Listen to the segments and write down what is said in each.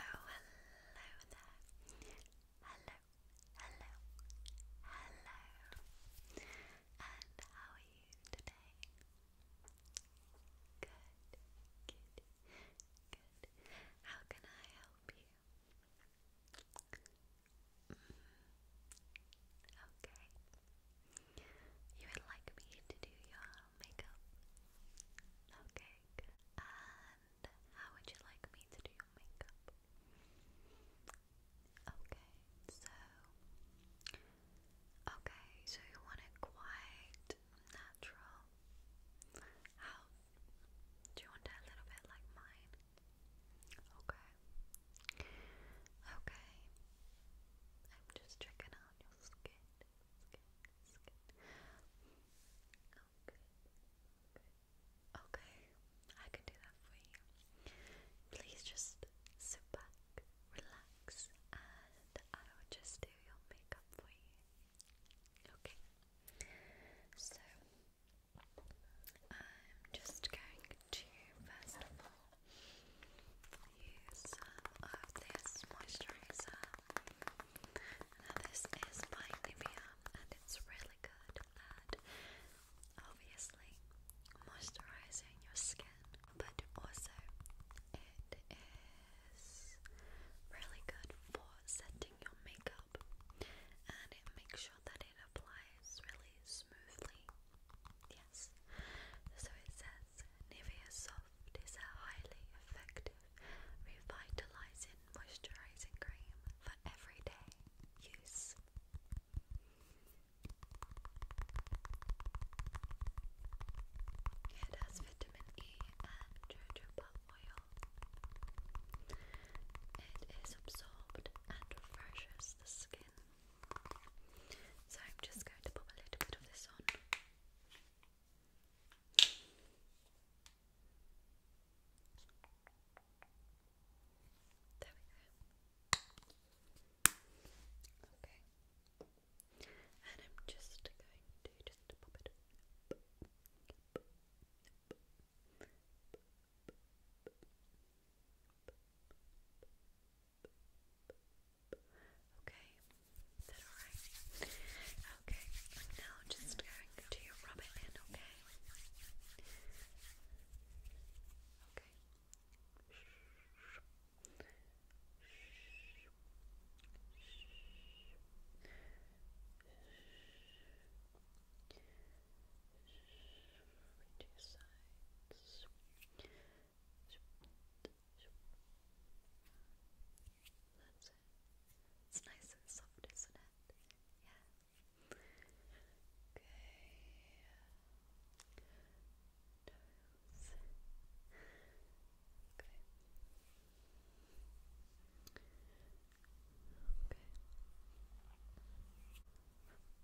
Oh, hello there. Hello, hello, hello. And how are you today? Good, good, good. How can I help you? Mm, okay. You would like me to do your makeup? Okay, And how would you like me to do your makeup? Okay, so okay, so you want it quite natural. How do you want it a little bit like mine? Okay. Okay. I'm just checking out your skin, skin, Okay, Okay, I can do that for you. Please just sit back, relax, and I will just do your makeup for you. Okay, so I'm just going to first of all use uh, of this moisturizer. Now this is by Nivea and it's really good obviously moisturizing your skin, but also it is really good for setting your makeup and it makes sure that it applies really smoothly Yes. So it says Nivea Soft is a highly effective, revitalizing, moisturizing cream for everyday use. It has vitamin E and jojoba oil. It is absorbed and refreshes the skin so I'm just going to put a little bit of this on. There we go. Okay. And I'm just going to just pop it. Okay, is that alright? Okay, now just going to rub it in, Okay. Okay to your It's nice and soft, isn't it? Yeah. Okay. Okay. Okay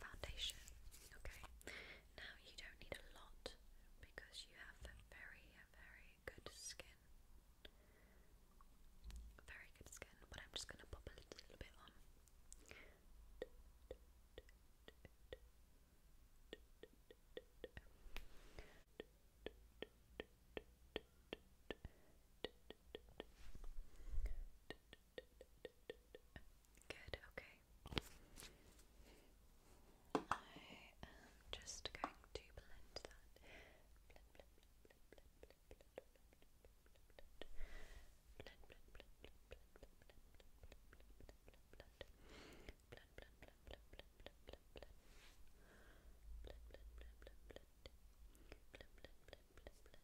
foundation. Okay, now you don't need a lot because you have very, very good skin. Very good skin, but I'm just gonna pop a little bit on. Good, okay. I am just going to blend that.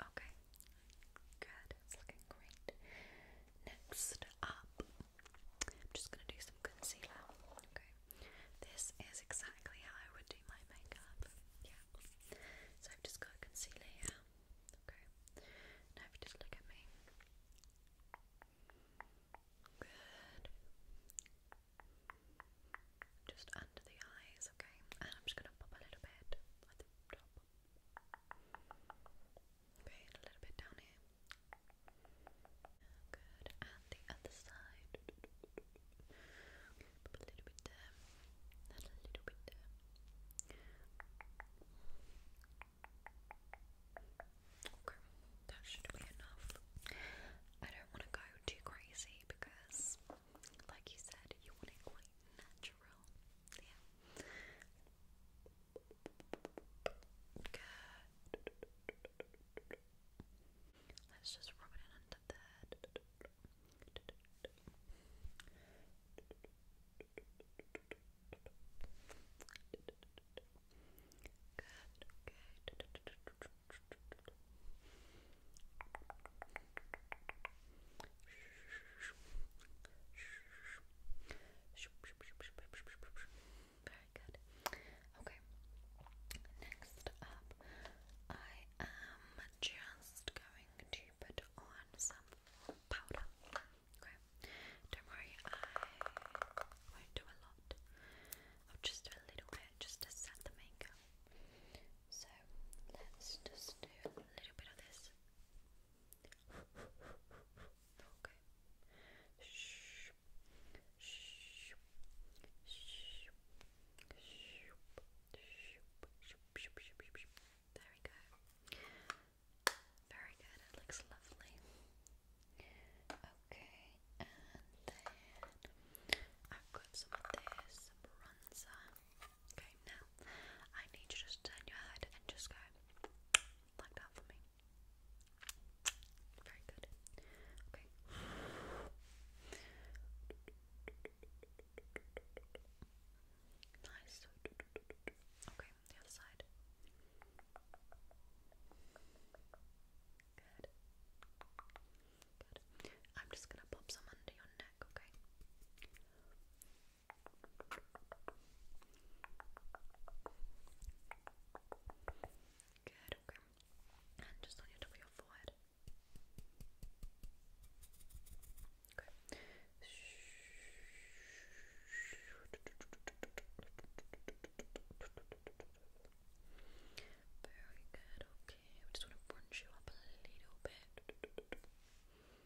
Okay. Good. It's looking great. Next up I'm just going to do some concealer. Okay. This is exactly how I would do my makeup. Yeah. So I've just got concealer here. Okay. Now if you just look at me. Good. Just under the eyes, okay? And I'm just gonna pop a little bit at the top. Okay, a little bit down here. Good. And the other side. A little bit there. And a little bit there. Okay, that should be enough. I don't want to go too crazy because, like you said, you want it quite natural. Yeah. Good. Let's just rub it in under there. Good, okay. Good. Very good. Okay. Next up, I am just going to put on some powder. Okay. Don't worry, I won't do a lot. I'll just do a little bit just to set the makeup. So let's just do a little bit of this. Okay. Shh. Shh. Shh. There we go. Very good. It looks lovely. Okay, and then I've got some of this bronzer. Okay, now I need you just turn your head and just go like that for me. Very good. Okay. Nice. Okay, other side. Good. Good. I'm just gonna pop some under your neck, okay? Good, okay. just on your top of your forehead. Okay. Very good, okay. We just want to brunch you up a little bit.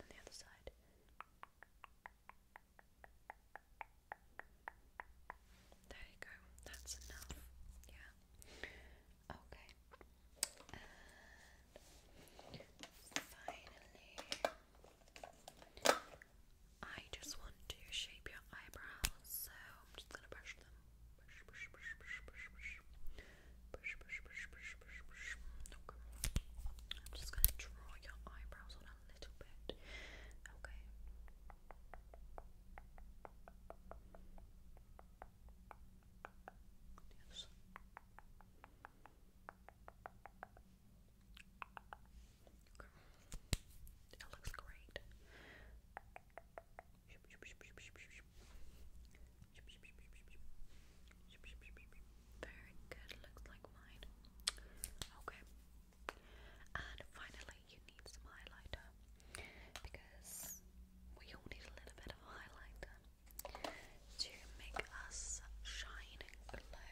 On the other side. There you go. That's enough. Yeah. Okay. finally, I just want to shape your eyebrows, so I'm just gonna brush them. Push, push, push, push, push, push. Look. I'm just gonna draw your eyebrows on a little bit. Okay. Yes. Okay. It looks great. Shoop, shoop, shoop, shoop, shoop, shoop, very good, looks like mine. Okay. And finally, you need some highlighter because we all need a little bit of highlighter to make us shine and glow.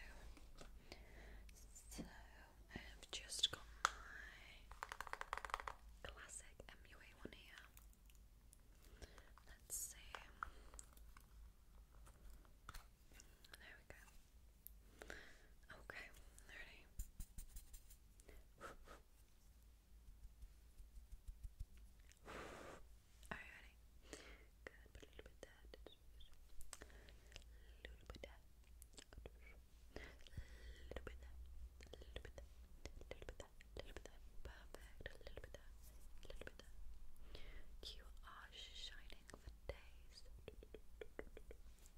So I've just got my classic MUA one here. Let's see. There we go. Okay, ready. Are you ready? a little bit that. A little bit that. A little bit that. A little bit that. A little bit that a little bit of perfect, a little bit a little bit of. You are shining for days.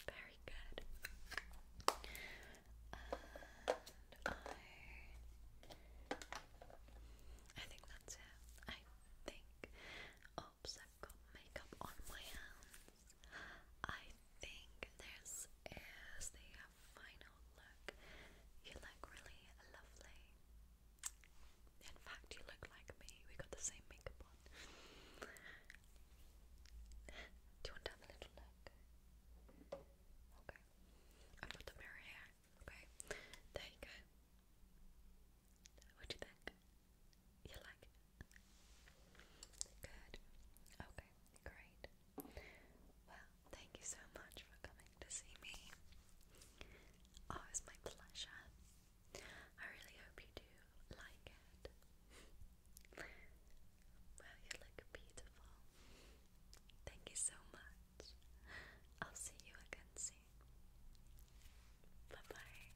Very good. And I, I think that's it. I think. Oops, I've got makeup on my hands. I think there's is the final look. You look really lovely. In fact, you look like me. We got the same makeup on. Do you want to have a little look? Okay. I've got the mirror here. Okay. There you go. What do you think? You like Good. Okay, great. Well, thank you so much for coming to see me. Oh, my pleasure. I really hope you do like it. well, you look beautiful. Thank you so much. I'll see you again soon. Bye bye.